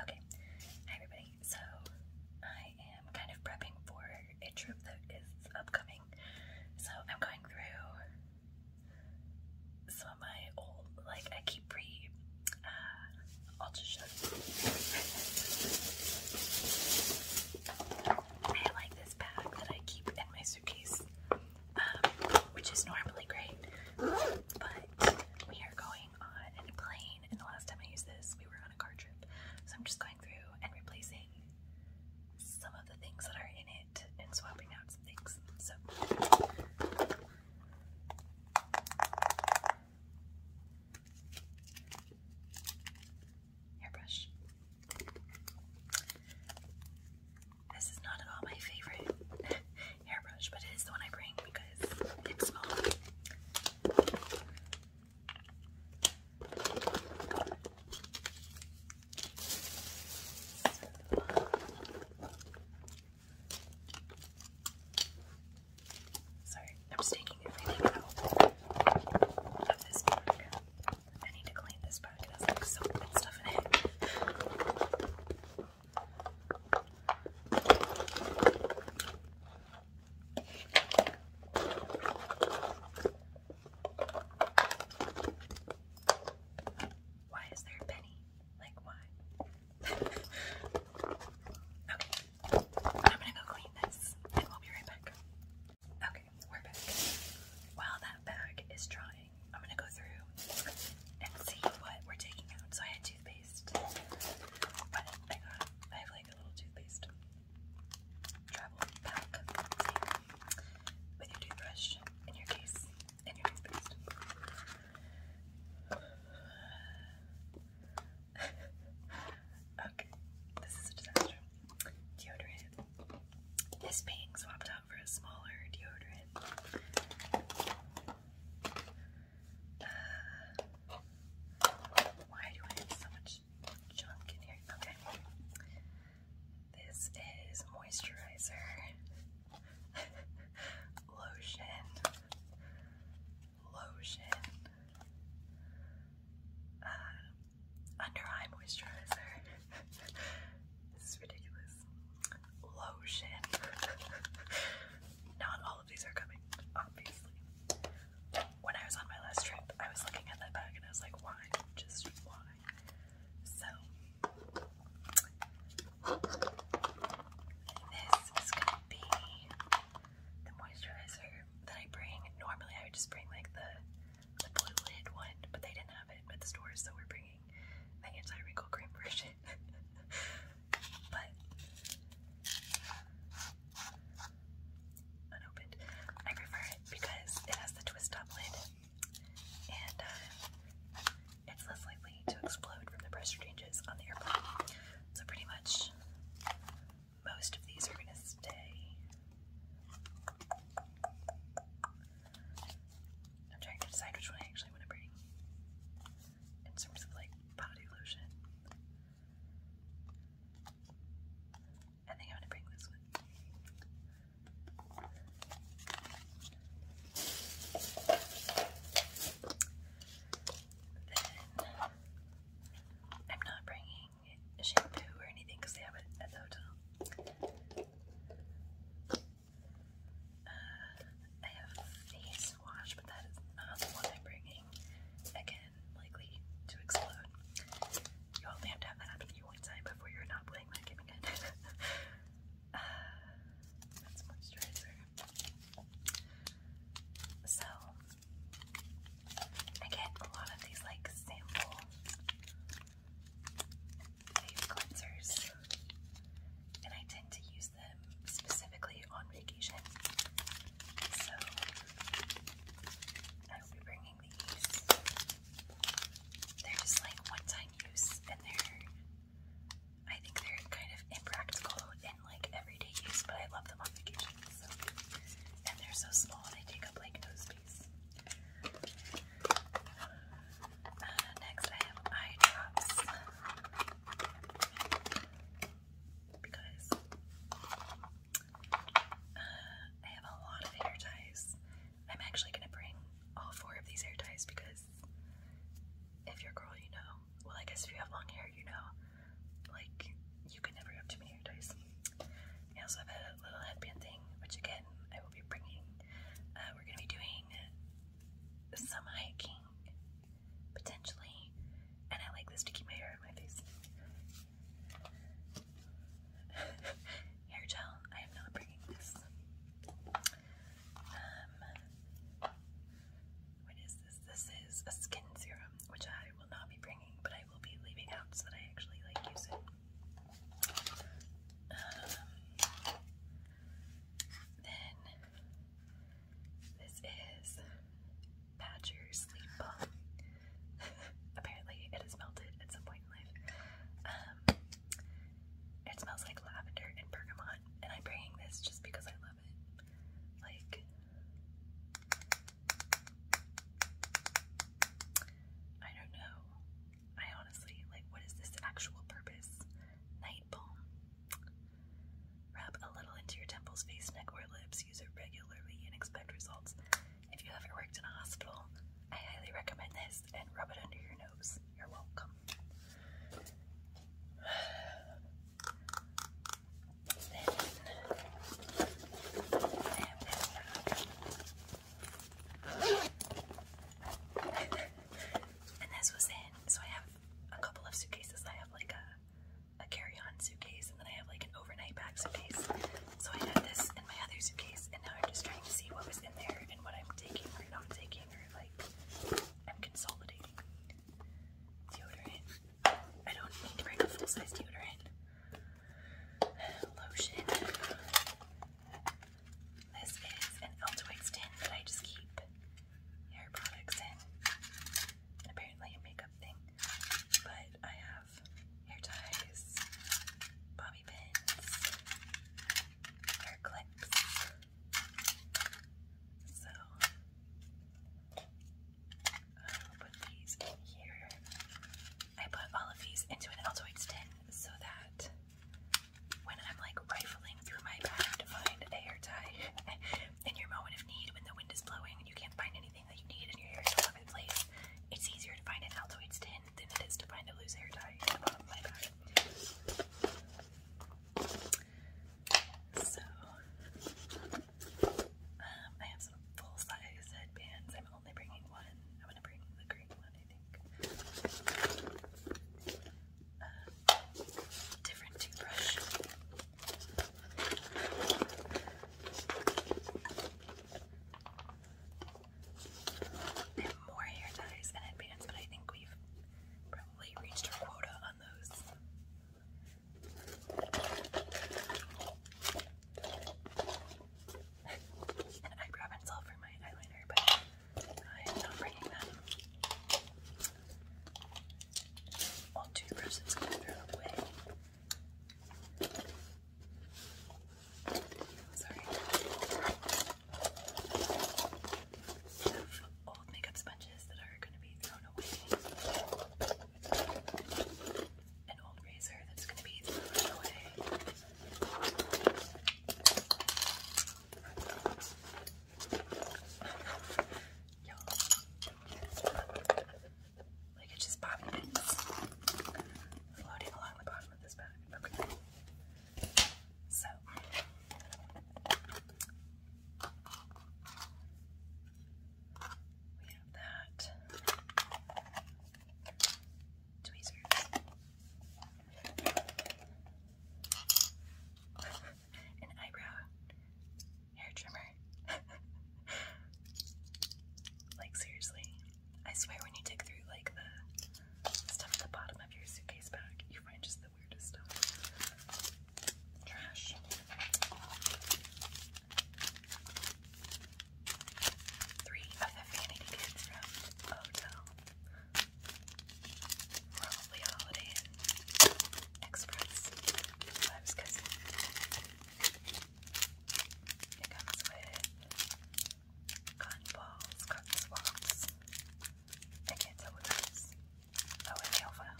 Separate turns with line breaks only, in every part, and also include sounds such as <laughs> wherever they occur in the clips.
Okay, hi everybody. So I am kind of prepping for a trip that is upcoming. So I'm going through some of my old, like I keep re, uh, I'll just show you. I like this bag that I keep in my suitcase, um, which is normally great, but we are going on in a and the last time I used this, we were on a car trip. So I'm just going through and replacing some of the things that are in it and swapping out some things. So. Airbrush. This is not at all my favorite. <laughs> hairbrush, but it is the one I bring because it's small. Sorry, I'm just taking everything out of this bag. I need to clean this bag. It has like soap and stuff in it. Why is there a penny? Like, why? <laughs> okay, I'm gonna go clean this and we'll be right back. Okay, we're back. While that bag is drying, I'm gonna go through and see what we're taking out. So I had toothpaste. I have like a little toothpaste travel pack with your toothbrush in your case and your toothpaste. <laughs> okay, this is a disaster. Deodorant. This being swapped out for a smaller deodorant why do I have so much junk in here? Okay. This is moisturizer, <laughs> lotion, lotion, uh, under eye moisturizer. <laughs> this is ridiculous. Lotion. <laughs> Not all these are coming, obviously. When I was on my last trip, I was looking at that bag and I was like, why? Just why? So, this is gonna be the moisturizer that I bring. Normally, I would just bring like the the blue lid one, but they didn't have it at the store, so we're bringing the anti-wrinkle cream version. <laughs> but unopened. I prefer it because it has the twist top lid and uh, it's less likely to explode from the pressure changes on the airplane. So, pretty much, most of these are going to stay. I'm trying to decide which one I actually want to bring in terms of like body lotion. I think I'm gonna bring this one. I'm not bringing shampoo or anything because they have it at the hotel. Uh, I have face wash, but that is not the one I'm bringing. Again, likely to explode. You only have to have that happen to you one time before you're not playing that game again. <laughs> Uh, that's moisturizer. So, I a lot of these like sample face cleansers, and I tend to use specifically on vacation. So I will be bringing these. They're just like one-time use, and they're I think they're kind of impractical in like everyday use, but I love them on vacation. and they're so small; they take up like no space. Uh, next, I have eye drops because uh, I have a lot of hair ties. I'm actually gonna bring all four of these hair ties because if you're a girl, you know. Well, I guess if you have long hair, you know. Like, you can never have too many hair ties. I also have a little headband thing, which again, I will be bringing. Uh, we're gonna be doing some hiking potentially. And I like this to keep my hair in my face. <laughs> hair gel, I am not bringing this. Um, what is this? This is a skin serum, which I will not be bringing, but I will be leaving out so that I actually like use um, then this is Badger Sleep Balm. <laughs> Apparently, it is melted at some point in life. Um, it smells like lavender and bergamot, and I'm bringing this just because I love it. Like, I don't know. I honestly, like, what is this actual purpose? Night balm. Rub a little into your temples, face, neck, or lips. Use it regularly and expect results. If you haven't worked in a hospital, I highly recommend this and rub it under your nose. You're welcome. and this was in, so I have a couple of suitcases. I have like a, a carry-on suitcase, and then I have like an overnight bag suitcase. So I had this in my other suitcase, and now I'm just trying to see what was in there and what I'm taking or not taking, or like I'm consolidating. Deodorant. I don't need to bring a full-size deodorant. Lotion. This is an Eltoid tin that I just keep hair products and apparently a makeup thing. But I have hair ties, bobby pins, hair clips. So I will put these in here. I put all of these into an Altoids tin so that when I'm like rifling through my bag to find a hair tie, <laughs> in your moment of need when the wind is blowing and you can't find anything that you need in your hair is all place. It's easier to find an Altoids tin than it is to find a loose hair tie So, um, I have some full size headbands. I'm only bringing one. I'm gonna bring the green one, I think different toothbrush. more hair ties and headbands, but I think we've probably reached our quota on those. An eyebrow pencil for my eyeliner, but I'm not bringing that. All two persons can throw away. Sorry. old makeup sponges that are going to be thrown away. An old razor that's going to be thrown away. Yo. Like it's just bobby pins floating along the bottom of this bag. Okay. So we have that. Tweezers an eyebrow hair trimmer. <laughs> like, seriously. I swear, when you dig through, like, the stuff at the bottom of your suitcase bag, you find just the weirdest stuff. Trash. Three of the vanity kits from Odell. Probably a Holiday Inn Express. That's It comes with cotton balls, cotton swabs. I can't tell what that is. Oh, and nail file.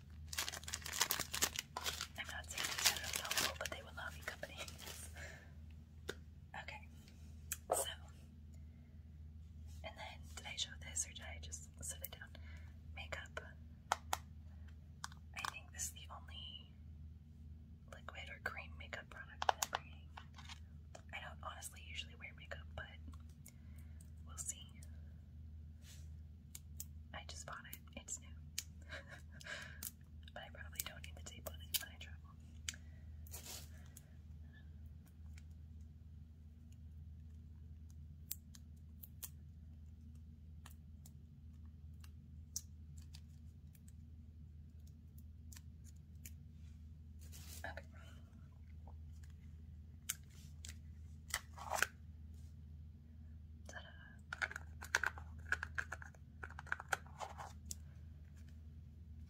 I'm not saying these are but they will not be companies. <laughs> okay, so, and then did I show this or did I just set it down? Makeup. I think this is the only liquid or cream makeup product I don't honestly usually wear makeup, but We'll see. I just bought it. It's new. <laughs> but I probably don't need the tape on it when I travel. Okay.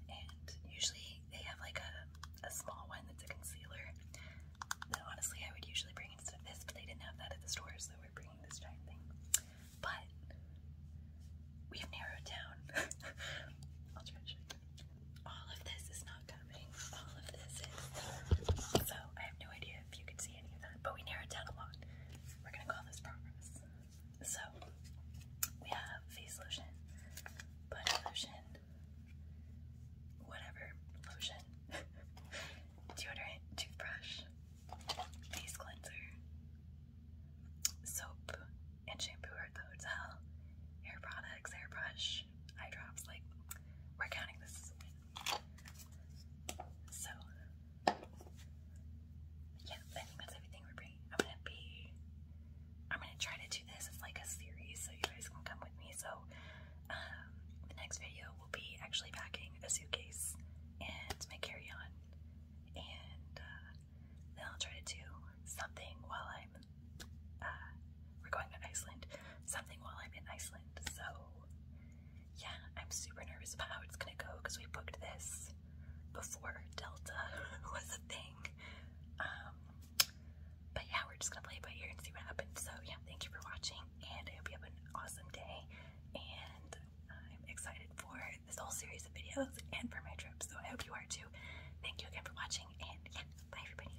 And usually they have like a, a small one that's a concealer that honestly I would usually bring instead of this, but they didn't have that at the store, so we're bringing this giant thing. But we've narrowed down. <laughs> I'll try to All of this is so I have no idea if you can see any of that, but we narrowed down a lot. We're gonna call this progress. So we have face lotion, body lotion, whatever lotion, <laughs> deodorant, toothbrush, face cleanser, soap and shampoo are at the hotel, hair products, hairbrush, eye drops, like we're counting this so, yeah, I think that's everything we're bringing. I'm gonna be, I'm gonna try to do this as like a series, so you guys can come with me. So, um, the next video will be actually packing a suitcase and my carry-on, and uh, then I'll try to do something while I'm uh, we're going to Iceland. Something while I'm in Iceland. So, yeah, I'm super nervous about how it's gonna go because we booked this before Delta <laughs> was a thing. Um, but yeah, we're just gonna play it by ear and see what happens. So, yeah, thank you for watching, and I hope you have an awesome day. And I'm excited for this whole series of videos and for my trip, so I hope you are too. Thank you again for watching, and yeah, bye everybody.